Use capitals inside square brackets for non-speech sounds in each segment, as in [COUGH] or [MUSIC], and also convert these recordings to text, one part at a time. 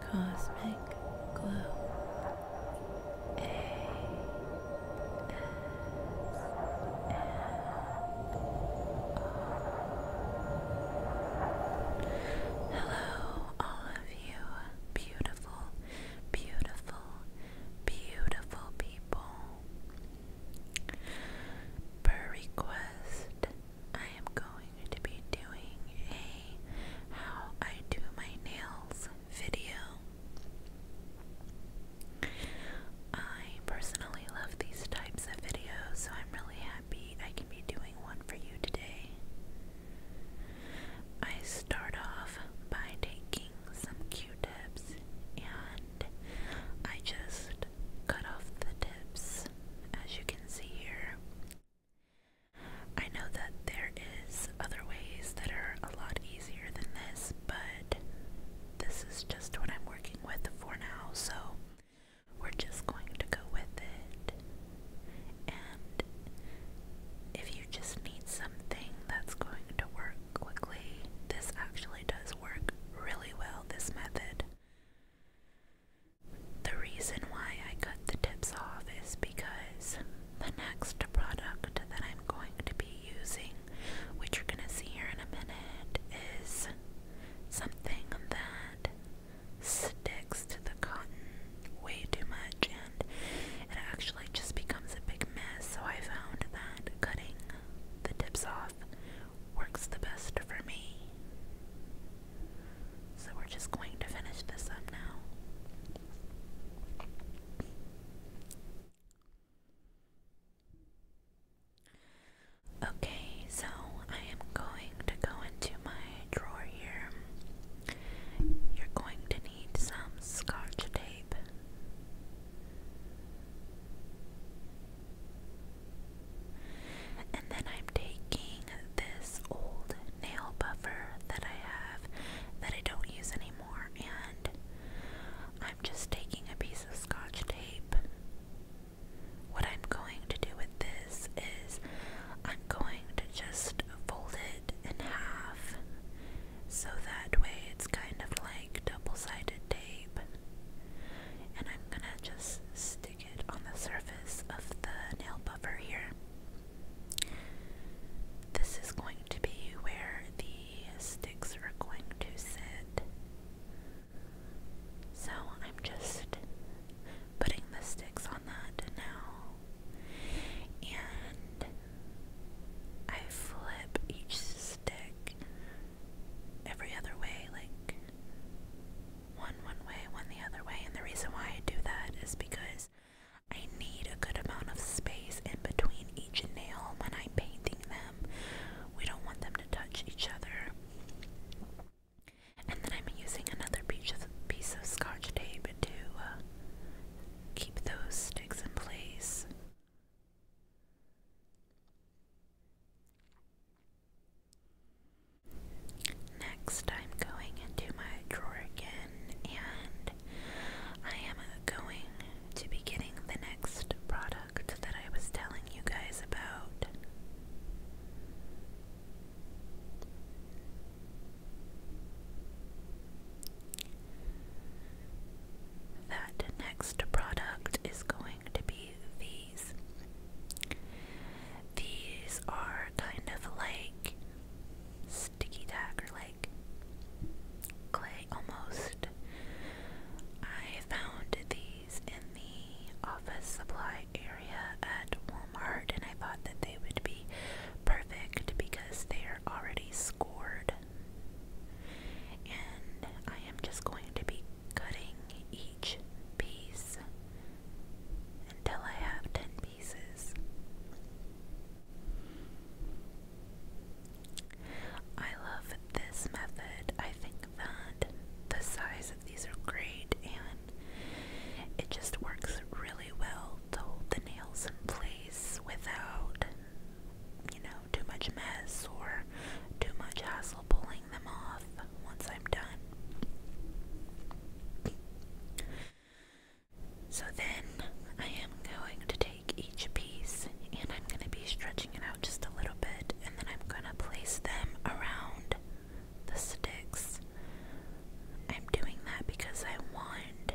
Cosmic Glow A -S Hello, all of you beautiful, beautiful, beautiful people. Per request, I am going to be doing a how I do my nails video. I personally love these types of videos, so I'm really happy I can be doing one for you today. I start off by taking some q tips and I just cut off the tips, as you can see here. I know that there is other ways that are a lot easier than this, but this is just what I'm working with for now, so we're just going to go with it. And if you just need something that's going to work quickly, this actually does work really well, this method. The reason why I cut the tips off is because the next product that I'm going to be using, which you're going to see here in a minute, is something that sticks to the cotton way too much and it actually just becomes a big mess. So I found that cutting the tips off works the best for me. So we're just going to finish this up now. Okay, so I am going to go into my drawer here. You're going to need some scotch tape. And then I'm taking this old nail buffer that I have that I don't use anymore, and I'm just taking a piece of scotch tape. What I'm going to do with this is I'm going to just fold it in half so that way it's kind of like double sided tape. And I'm gonna just stick on the surface of the nail buffer here. This is going to be where the sticks are going to sit. So I'm just putting the sticks on that now. And I flip each stick every other way, like one one way, one the other way. And the reason why I do that is because I need a good amount of space in between each nail when I'm painting them. We don't want them to touch each other. And then I'm using another piece of, piece of scotch tape to uh, keep those sticks in place. Next, I'm going into my drawer again and I am going to be getting the next product that I was telling you guys about. That next product is going to be the these. are kind of like sticky tack or like clay almost. I found these in the office supply area at Walmart and I thought that they would be perfect because they are already scored. And I am just going to be cutting each piece until I have ten pieces. I love this method. I think that the size of these are great and it just works really well to hold the nails in place without, you know, too much mess or too much hassle pulling them off once I'm done. So then I am going to take each piece and I'm going to be stretching it out just a little bit and then I'm going to place them around the sticks. I'm doing that because I want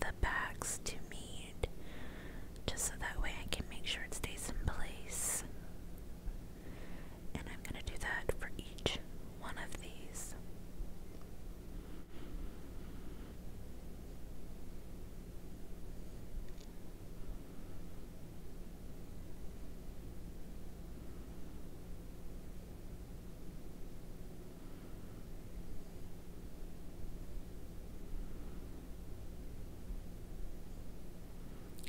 the backs to meet just so that way I can make sure it stays in place. And I'm going to do that for each one of these.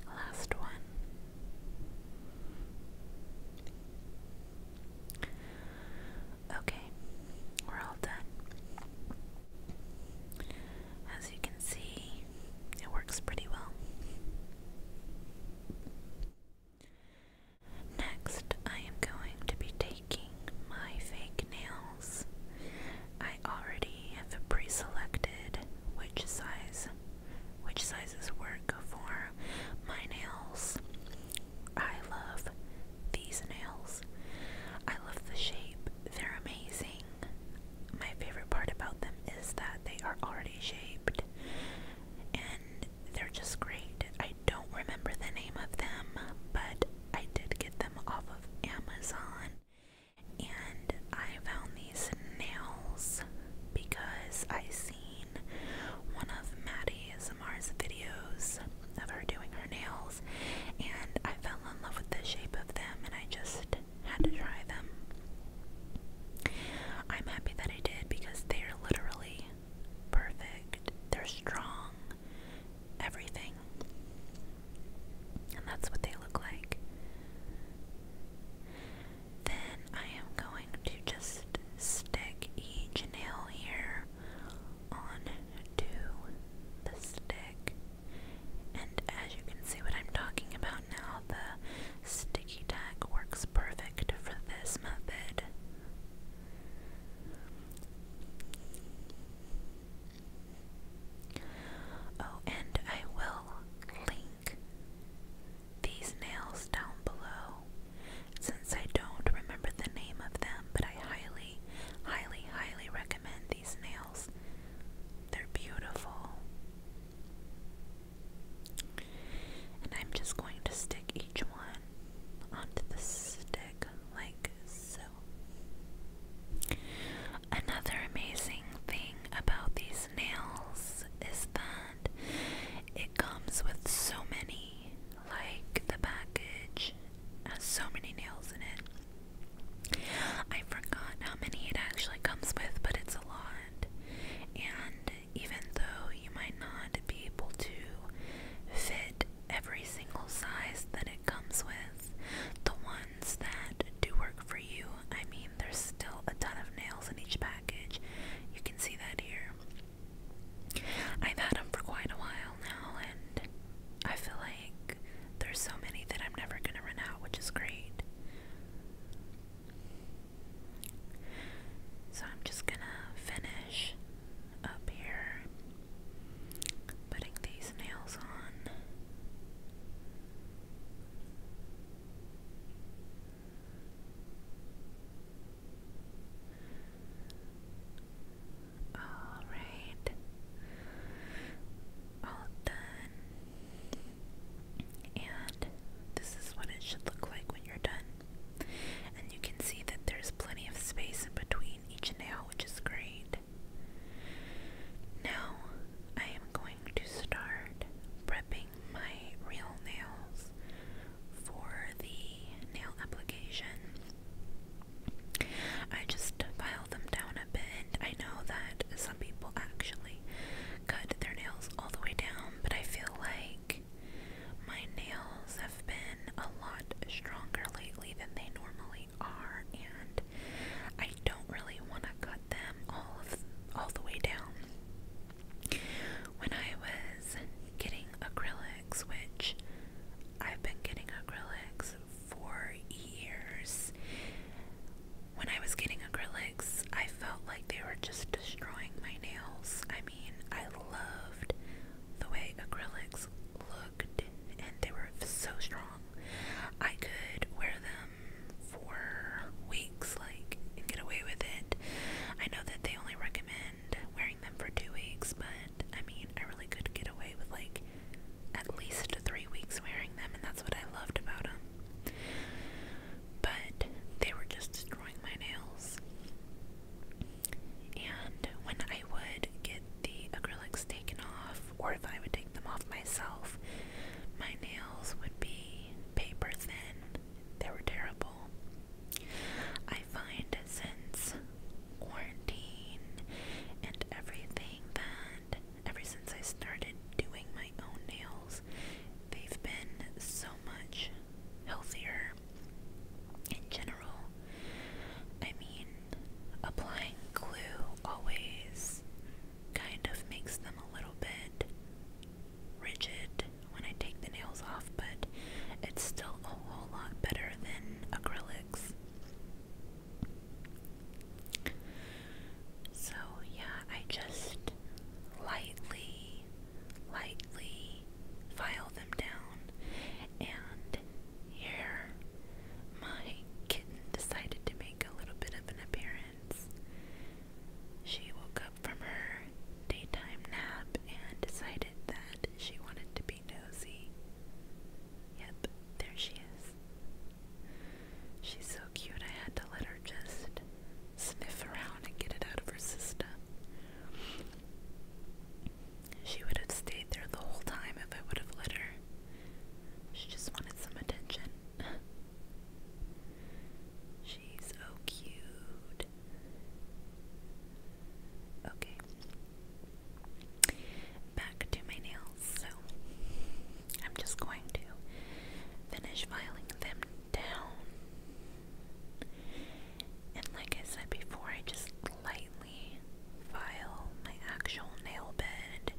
Last one. Okay, we're all done. As you can see, it works pretty well. Next, I am going to be taking my fake nails. I already have pre selected which size which sizes work for my nails. I love these nails. I love the shape. They're amazing. My favorite part about them is that they are already shaped and they're just great. I don't remember the name of them, but I did get them off of Amazon and I found these nails because I one of Maddie Samar's videos of her doing her nails, and I fell in love with the shape of them, and I just had to try them. I'm happy that I did because they are literally perfect, they're strong, everything. And that's what they look like. Then I am going to just stick each nail here onto the stick. And as you can see what I'm talking about now, the sticky tag works perfect for this method. Oh, and I will these nails down below since I don't remember the name of them but I highly highly highly recommend these nails they're beautiful and I'm just going to stick each one onto the stick like so Another amazing thing about these nails is that it comes with so many, like the package has so many nails in it. I forgot how many it actually comes with, but it's a lot. And even though you might not be able to fit every single size that it comes with, the ones that do work for you, I mean, there's still a ton of nails in each pack. You can see that here. I've had them for quite a while now, and I feel like there's so many that I'm never gonna run out, which is great. So I'm just gonna finish up here, putting these nails on. All right, all done, and this is what it should look like when you're done. And you can see that there's plenty of space in between each nail, which is great. Now, I am going to start prepping my real nails for the nail application. I just file them down a bit. I know that some people actually cut their nails all the way down, but I feel like my nails have been a lot stronger lately than they normally are, and I don't really want to cut them all all the way down. When I was getting acrylics, which I've been getting acrylics for years, when I was getting acrylics, I felt like they were just destroying my nails. I mean, I loved the way acrylics looked, and they were so strong. I could wear them for weeks weeks, like, and get away with it. I know that they only recommend wearing them for two weeks, but I mean, I really could get away with like at least three weeks wearing them, and that's what I loved about them. But they were just destroying my nails. And when I would get the acrylics taken off, or if I would take them off myself, my nails would be paper thin. They were terrible people. I find since quarantine and everything that ever since I started doing my own nails, they've been so much healthier in general. I mean, applying glue always kind of makes them a little bit rigid when I take the nails off, but it's still a whole lot better than acrylics. So, yeah, I just lightly, lightly file them down, and here my kitten decided to make a little bit of an appearance. She woke from her daytime nap and decided that she wanted to be nosy. Yep, there she is. She's so cute, I had to let her just sniff around and get it out of her system. She would have stayed there the whole time if I would have let her. She just wanted some attention. [LAUGHS] She's so cute. Okay. Back to my nails. So I'm just going to finish filing them down. And like I said before, I just lightly file my actual nail bed.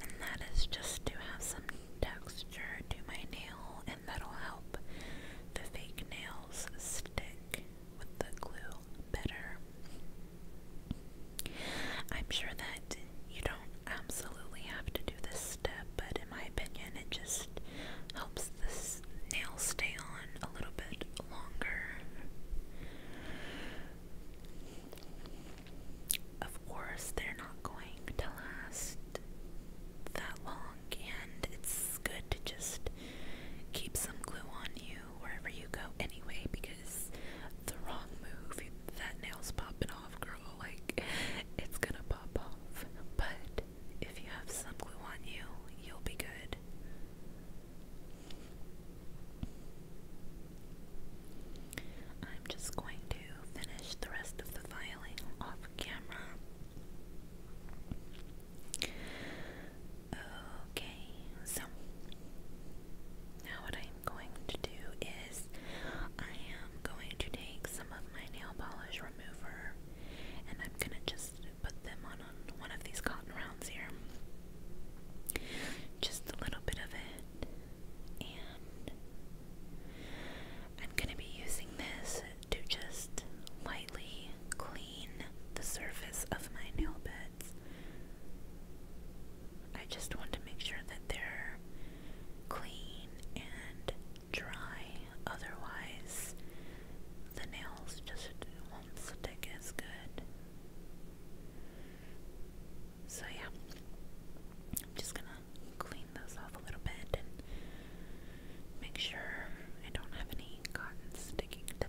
And that is just to have some texture to my nail and that'll help the fake nails stick with the glue better. I'm sure that you don't absolutely have to do this step, but in my opinion, it just helps the nail stay on a little bit longer. Of course, they're not going to last that long, and it's good to just keep some glue on you wherever you go anyway, because the wrong move, that nail's popping off, girl, like, it's gonna pop off. But if you have some glue on you, you'll be good. I'm just going to finish the rest of the filing off camera. Okay, so now what I'm going to do is I am going to take some of my nail polish remover and I'm going to just put them on one of these cotton rounds here. Just a little bit of it. And I'm going to be using this to just lightly clean the surface of my nail beds. I just want to make sure that they're clean and dry, otherwise, the nails just won't stick as good. So, yeah, I'm just gonna clean those off a little bit and make sure I don't have any cotton sticking to them.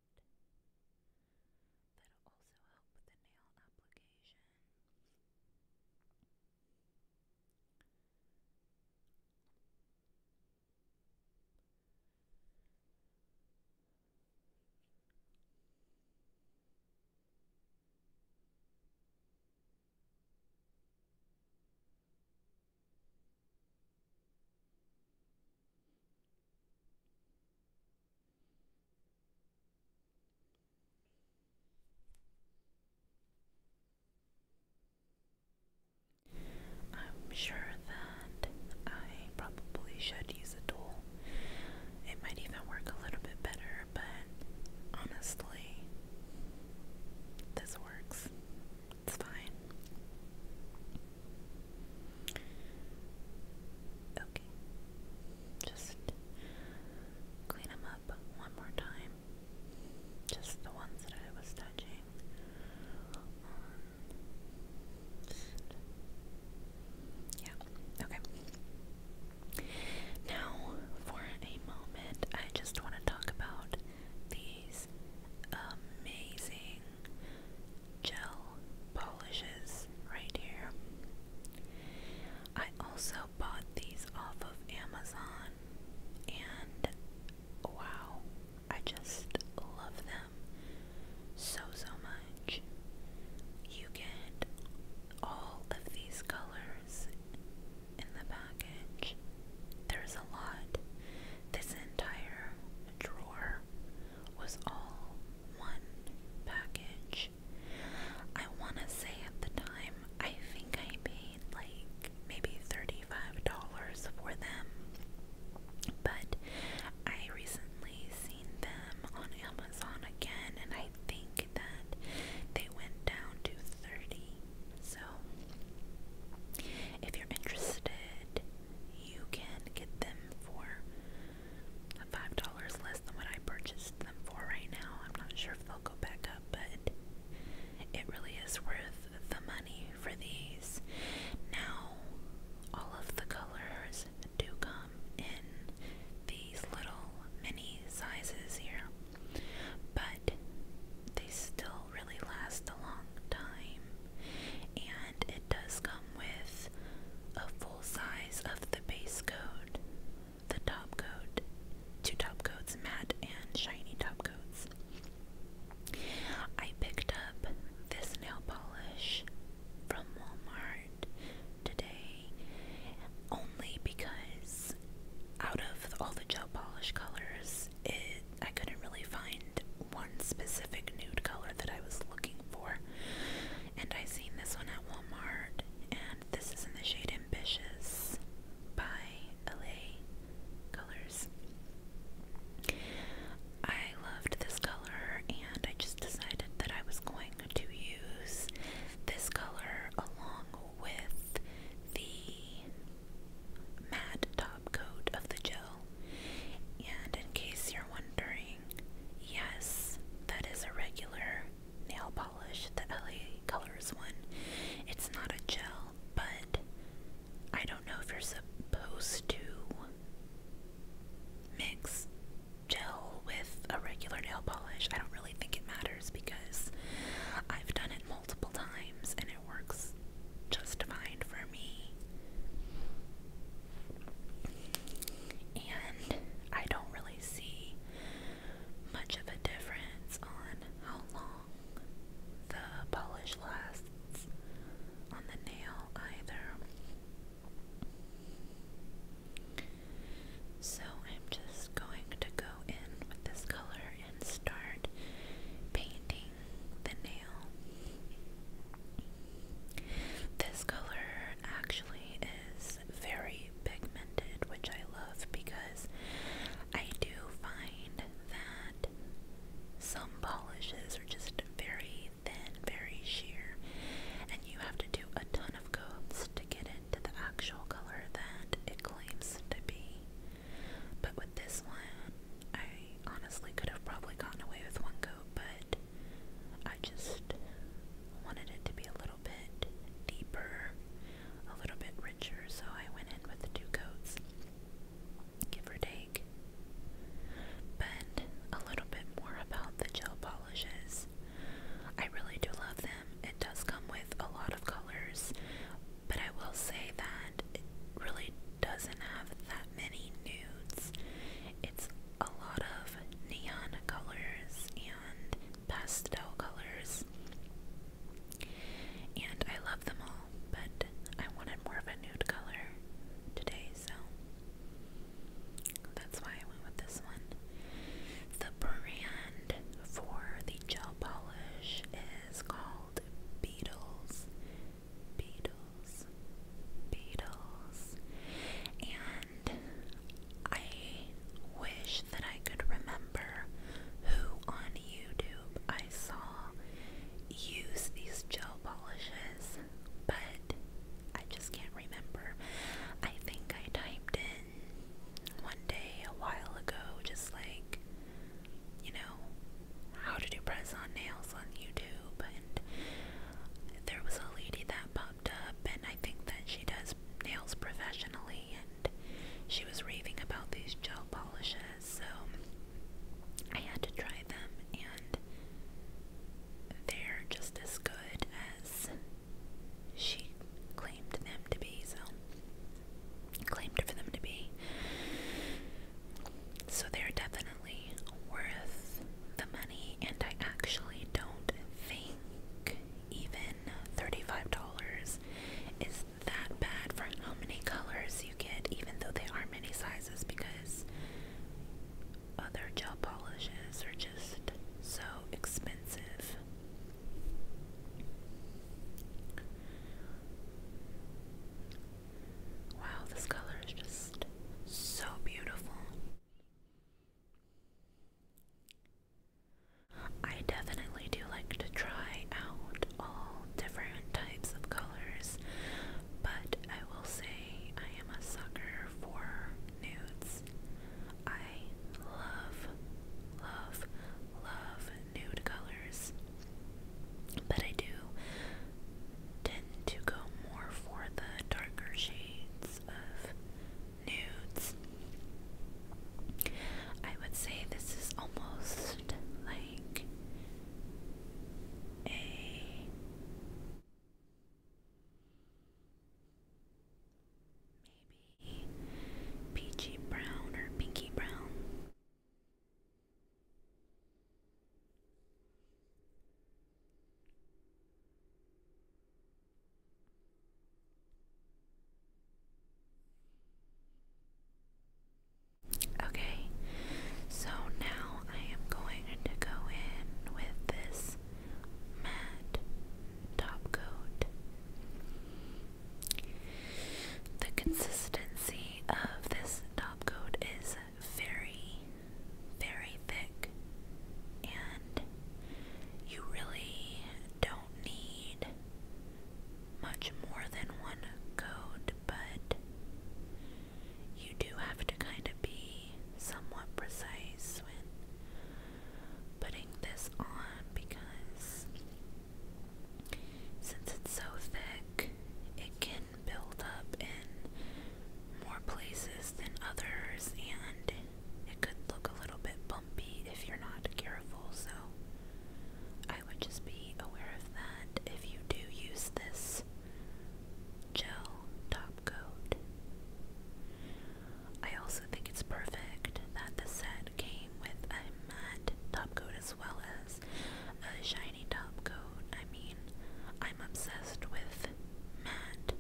that. That'll also help with the nail application. Okay. I'm sure that I probably should use a tool. It might even work a little bit better, but honestly, this works. It's fine. Okay. Just clean them up one more time. Just the ones that I was touching um, yeah. Okay. Now, for a moment, I just want to talk about these amazing gel polishes right here. I also bought these off of Amazon and wow, I just love them so so much. You get all of these colors in the package. There's a lot. This entire drawer was all one package. I want to say at the time, I think I paid like maybe $35 for them, but I recently seen them on Amazon again, and I think that they went down to 30 So, if you're interested, you can get them for five dollars less than what I purchased them for right now. I'm not sure if they'll go back up, but it really is worth the money for these. Now, all of the colors do come in these little mini sizes here, but they still really last a long time, and does come with a full size of the base coat, the top coat, two top coats, matte and shiny top coats. I picked up this nail polish from Walmart today only because out of all the gel polish colors, it I couldn't really find one specific nude color that I was looking for. And I seen this one at Walmart, and this is in the shade Ambitious by LA Colors. I loved this color, and I just decided that I was going to use this color along with the matte top coat of the gel. And in case you're wondering, Yes, that is a regular nail polish, the LA Colors one. It's not a gel, but I don't know if you're supposed to mix gel with a regular nail polish. I don't really think it matters because I've done it multiple times and it works just fine for me. And I don't really see much of a difference on how long the polish lasts on the nail either. So I'm just going to go in with this color and start painting the nail. This color actually is very pigmented, which I love because I do find that some polishes are just very thin, very sheer, and you have to do a ton of coats to get it to the actual color that it claims to be. But with this one, I honestly could have probably gotten away with one coat, but I just wanted it to be a little bit deeper, a little bit richer, so I went in with two coats, give or take. But a little bit more about the gel polishes. I really do love them. It does come with a lot of colors, but I will say that it really doesn't have that many nudes. It's a lot of neon colors and pastel colors, and I love them all, but I wanted more of a nude color today, so that's why I went with this one. The brand for the gel polish is called Beetles. Beatles, Beatles, and I wish that I could remember who on YouTube I saw use these gel polishes, but I just can't remember. I think I typed in one day a while ago, just like, you know, how to do press on nails on YouTube, and there was a lady that popped up, and I think that she does nails professionally, and she was raving about these gel polishes, so I had to try them, and they're just as good as she claimed them to be, so claimed for them to be. So they're definitely worth the money, and I actually don't think even $35 is that bad for how many colors you get, even though there are many sizes, because other gel polishes are just so expensive. Wow, this color is just so beautiful. I definitely do like to try out all different types of colors, but I will say I am a sucker for nudes. I love, love, love nude colors, but I do tend to go more for the darker shades of nudes. I would say this is almost like a maybe peachy brown or pinky brown. Okay, so now I am going to go in with this matte top coat. The consistency of this top coat is very, very thick, and you really don't need much more than one coat, but you do have to kind of be somewhat precise when putting this on because since it's so thick, it can build up in more places than others, and it could look a little bit bumpy if you're not careful. So, I would just be aware of that if you do use this gel top coat. I also think it's perfect that the set came with a matte top coat as well as a shiny top coat. I mean, I'm obsessed with matte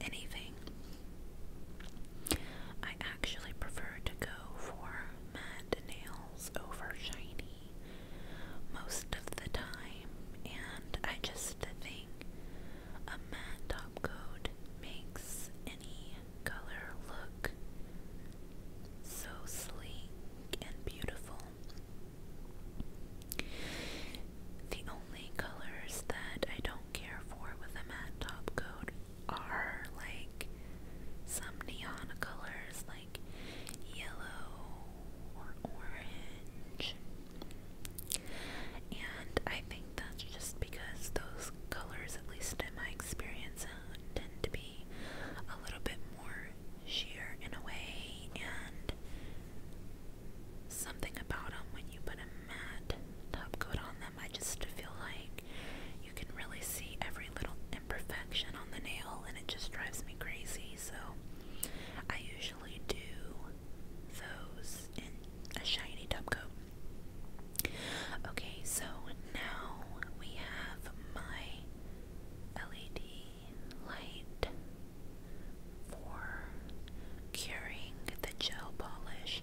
anything. I actually prefer to go for matte nails over shiny most of the time, and I just think a matte top coat makes any color look so sleek and beautiful. The only colors that I don't care for with a matte top coat are like some neon colors like yellow or orange. And I think that's just because those colors, at least in my experience, uh, tend to be a little bit more sheer in a way, and something about them when you put a matte top coat on them. I just feel like you can really see every little imperfection on the nail, and it just drives me crazy. So I usually do those in a shiny top coat. Okay, so now we have my LED light for curing the gel polish.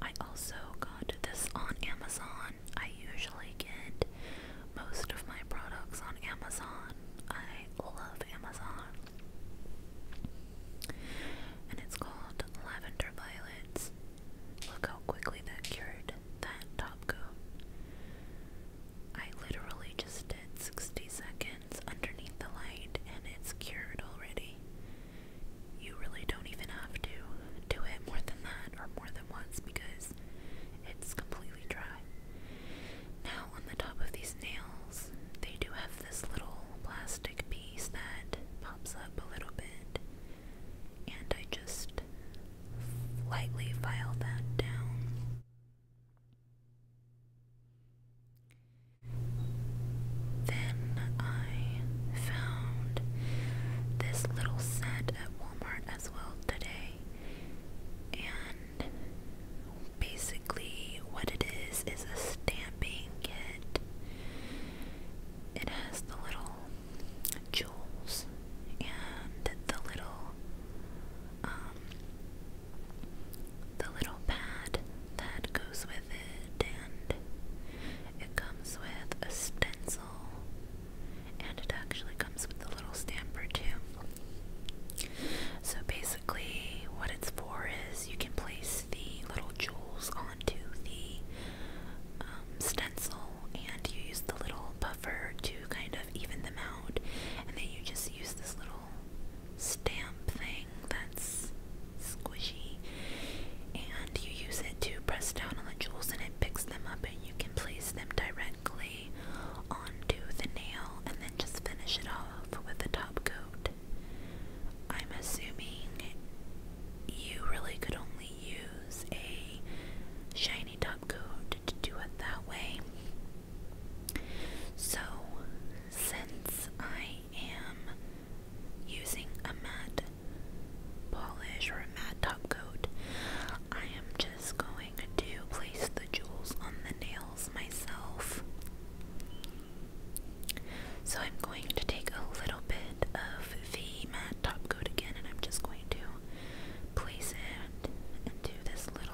I also got this on Amazon. I usually get most of my products on Amazon. I love Amazon. And it's called Lavender Violets. Look how quickly that cured that top coat. I literally just did 60 seconds underneath the light and it's cured already. You really don't even have to do it more than that or more than once because it's completely dry. Now, on the top of these nails, they do have this little plastic piece that pops up a little bit, and I just lightly file that down. Then I found this little set at Walmart as well today. And basically, what it is is a stamping kit. It has the little jewels and the little um, the little pad that goes with it, and it comes with a stencil, and it actually comes with a little stamper too. So basically, what it's for is you can place the little jewels onto the um, stencil, and you use the little buffer to kind of even them out, and then you just use this little stamp thing that's squishy, and you use it to press down on the jewels and it picks them up, and you can place them directly onto the nail and then just finish it off with a top coat. I'm assuming you really could only use a shiny top coat to do it that way. So, since I am using a matte polish or a matte top coat, I am just going to place the jewels on the nails myself. So, I'm going to take a little bit of the matte top coat again and I'm just going to place it into this little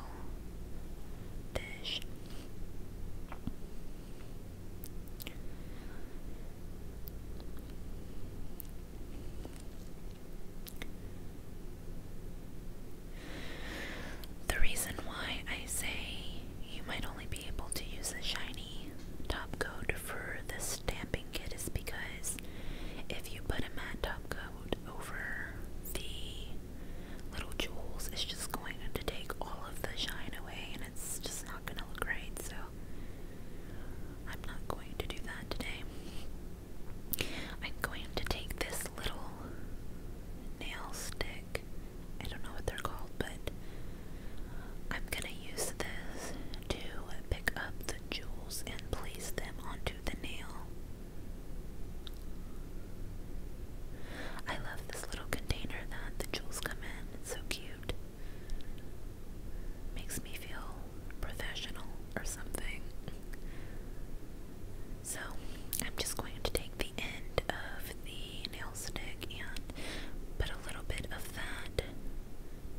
the reason why I say you might only be able to use a shiny top coat for the stamping kit is because if you put a matte top coat over the little jewels is just going to take all of the shine away and it's just not going to look great. So I'm not going to do that today. I'm going to take this little nail stick. I don't know what they're called, but I'm going to use this to pick up the jewels and place them onto the nail. I love this little container that the jewels come in. It's so cute. Makes me feel professional or something. So, I'm just going to take the end of the nail stick and put a little bit of that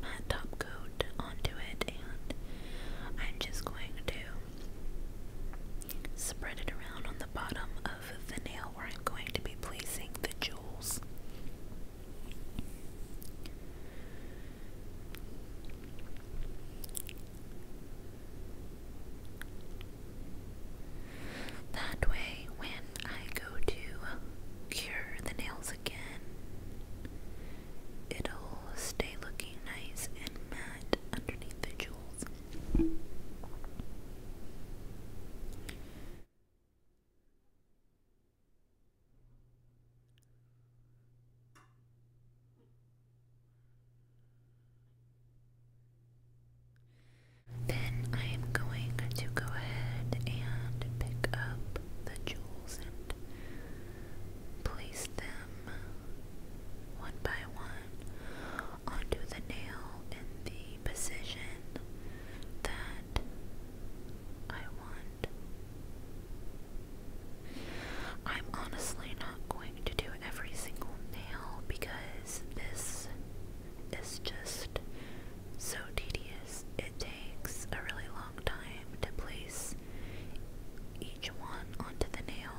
matte top coat onto it, and I'm just going to Spread it around on the bottom of the nail where I'm going to be placing the jewels. That way, when I go to cure the nails again, it'll stay looking nice and matte underneath the jewels. Then I am going to go ahead and pick up the jewels and place them one by one onto the nail in the position that I want. I'm honestly not going to do every single nail because this is just so tedious. It takes a really long time to place each one onto the nail.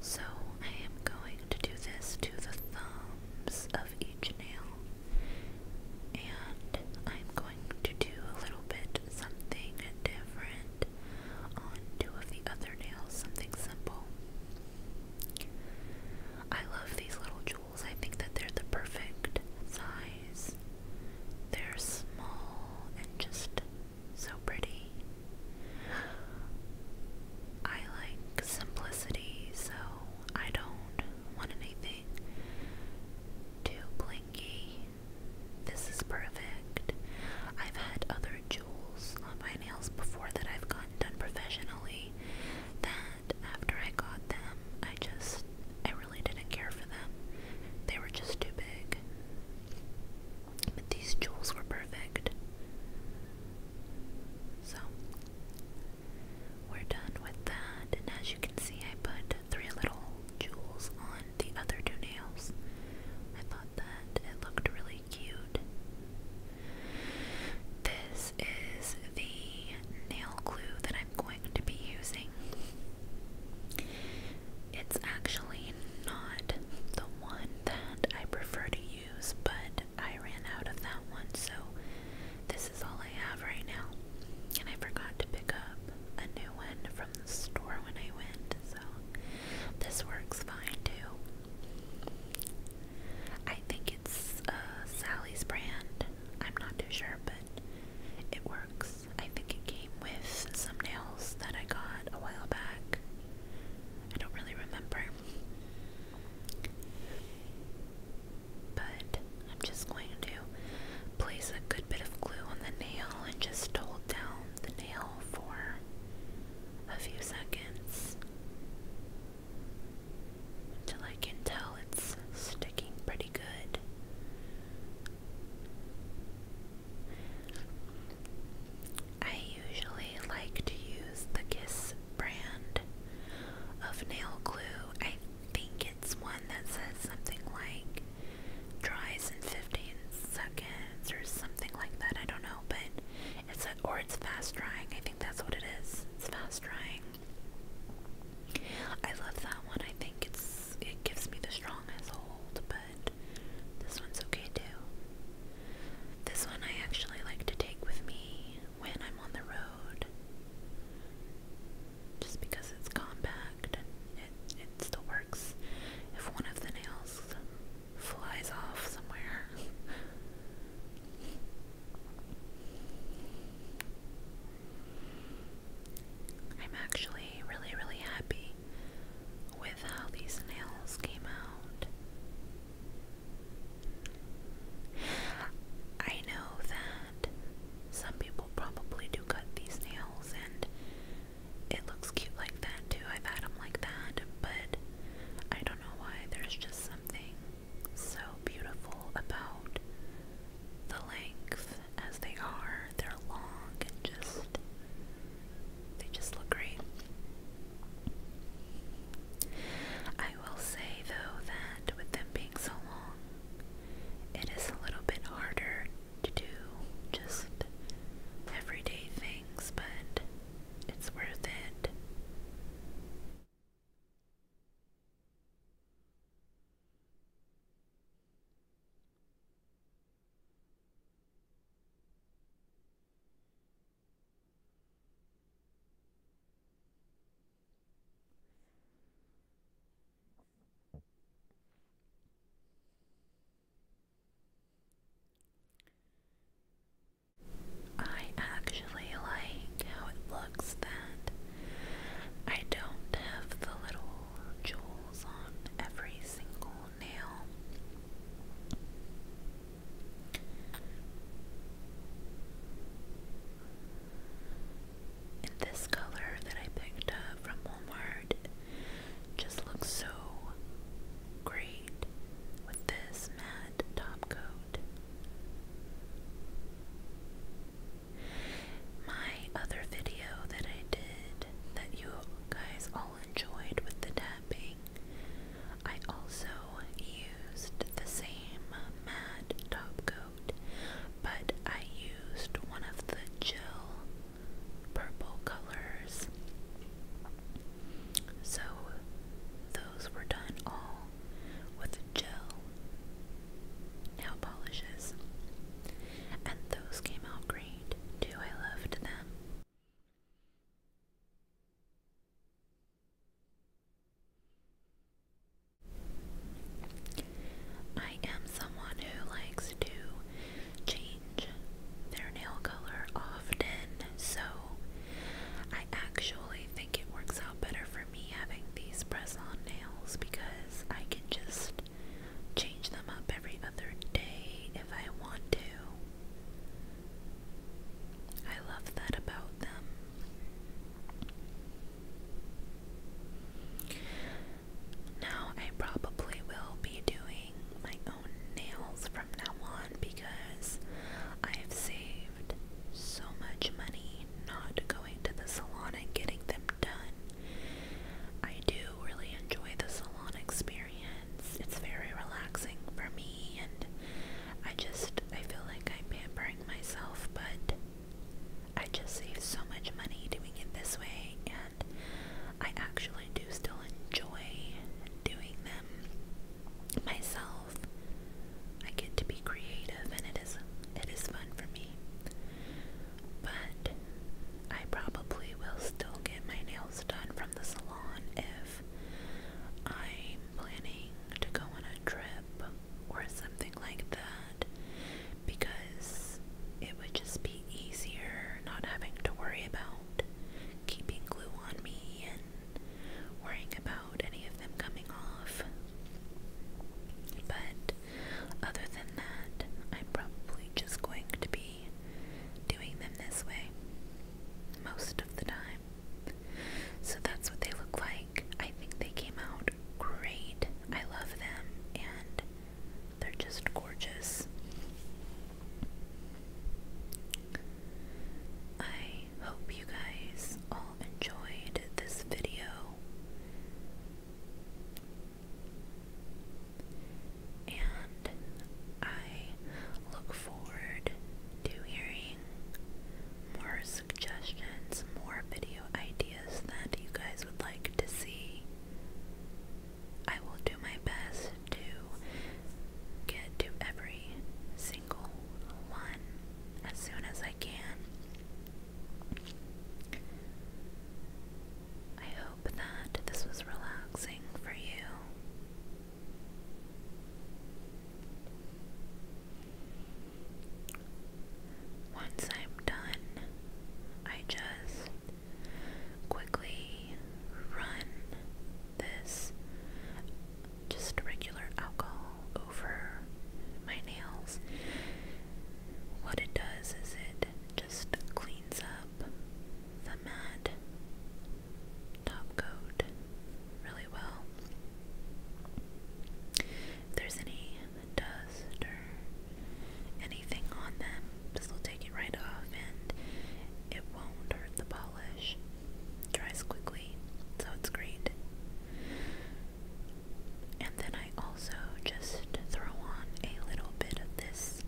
So I am going to do this to the thumbs of each nail, and I'm going to do a little bit something different on two of the other nails, something simple. I love these little jewels. I think that they're the perfect size. They're small and just so pretty. I like simplicity, so I don't want anything too blinky. This is perfect. I've had other jewels on my nails before that I've gotten done professionally that after I got them, I just I really didn't care for them. They were just too big. But these jewels were perfect. So we're done with that, and as you can see, I put three little jewels on the other two nails. I thought that it looked really cute. This is the nail glue that I'm going to be using. It's actually not the one that I prefer to use, but I ran out of that one, so this is all I have right now. And I forgot to pick up a new one from the store when I went, so this works fine too. I think it's uh, Sally's brand. I'm not too sure, but it works. I think it came with some nails that I got a while back. I don't really remember. But I'm just going to place a good bit of glue on the nail and just hold down the nail for a few seconds until I can tell it's sticking pretty good. I usually like to use the Kiss brand of nail glue. I think it's one that says something like dries in 15 seconds or something like that. I don't know, but it's a, or it's fast drying. I think that's what it is. It's fast drying. I love that one. I think it's it gives me the strongest hold, but this one's okay too. This one I actually like to take with me when I'm on the road. Just because it's compact and it, it still works if one of the nails flies off somewhere. [LAUGHS] I'm actually really, really happy with how these nails came out. I know that some people probably do cut these nails and it looks cute like that too. I've had them like that, but I don't know why. There's just something so beautiful about the length as they are they're long and just they just look great. I will say though that with them being so long, it is a little bit harder to do just everyday things, but it's worth it. I actually like how it looks that I don't have the little jewels on every single this color that I picked up from Walmart just looks so great with this matte top coat. My other video that I did that you guys enjoyed with the tapping. I also used the same matte top coat, but I used one of the gel purple colors. So those were done all with gel nail polishes. And those came out great too. I loved them. I am someone who likes to change their nail color often, so I actually think it works out better for me having these press on nails because I can just change them up every other day if I want to. I love that about them. Now, I probably will be doing my own nails from now on because I've saved so much money not going to the salon and getting them done. I do really enjoy the salon experience friends. It's very relaxing for me and I just I feel like I'm pampering myself, but I just save so much money doing it this way and I actually do still enjoy doing them myself. I get to be creative and it is it is fun for me. But I probably will still get my nails done from the salon if I'm planning to go on a trip or something like that because it would just be easier not having to worry about keeping glue on me and worrying about any of them coming off. But other than that, I'm probably just going to be doing them this way most of the time. So that's what they look like. I think they came out great. I love them and they're just gorgeous. I hope you guys all enjoyed this video. And I look forward to hearing more suggestions, more video ideas that you guys would like to see. I will do my best to get to every single one as soon as I can. I that this was relaxing for you. Once I'm done, I just quickly run this just regular alcohol over my nails. What it does is it just cleans up the matte top coat really well. If there's any dust or anything on them, this will take it right off and it won't hurt the polish. dries quickly, so it's great. And then I also just throw on a little bit of this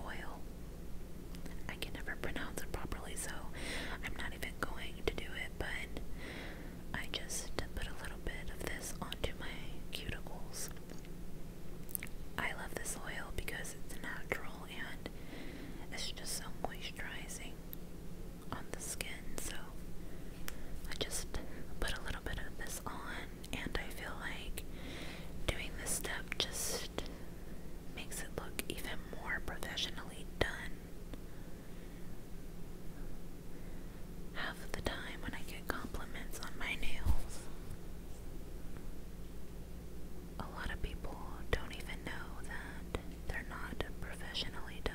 oil. I can never pronounce it properly, so I'm not even going to do it, but I just put a little bit of this onto my cuticles. I love this oil because it's natural and it's just so moisturizing on the skin, so I just put a little bit of this on and I feel like doing this step just makes it look even more professionally done. Half of the time when I get compliments on my nails, a lot of people don't even know that they're not professionally done.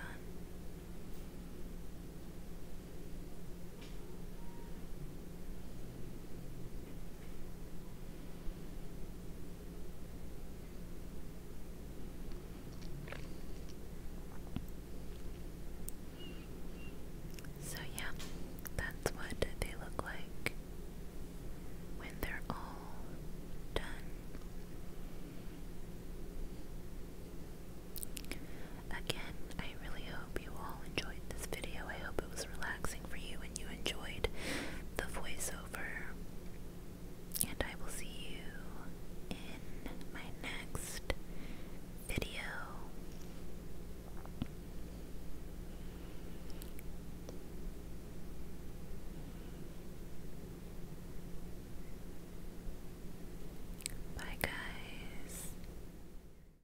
So, yeah, that's what they look like when they're all done. Again, I really hope you all enjoyed this video. I hope it was relaxing for you and you enjoyed the voiceover. And I will see you in my next video. Bye, guys.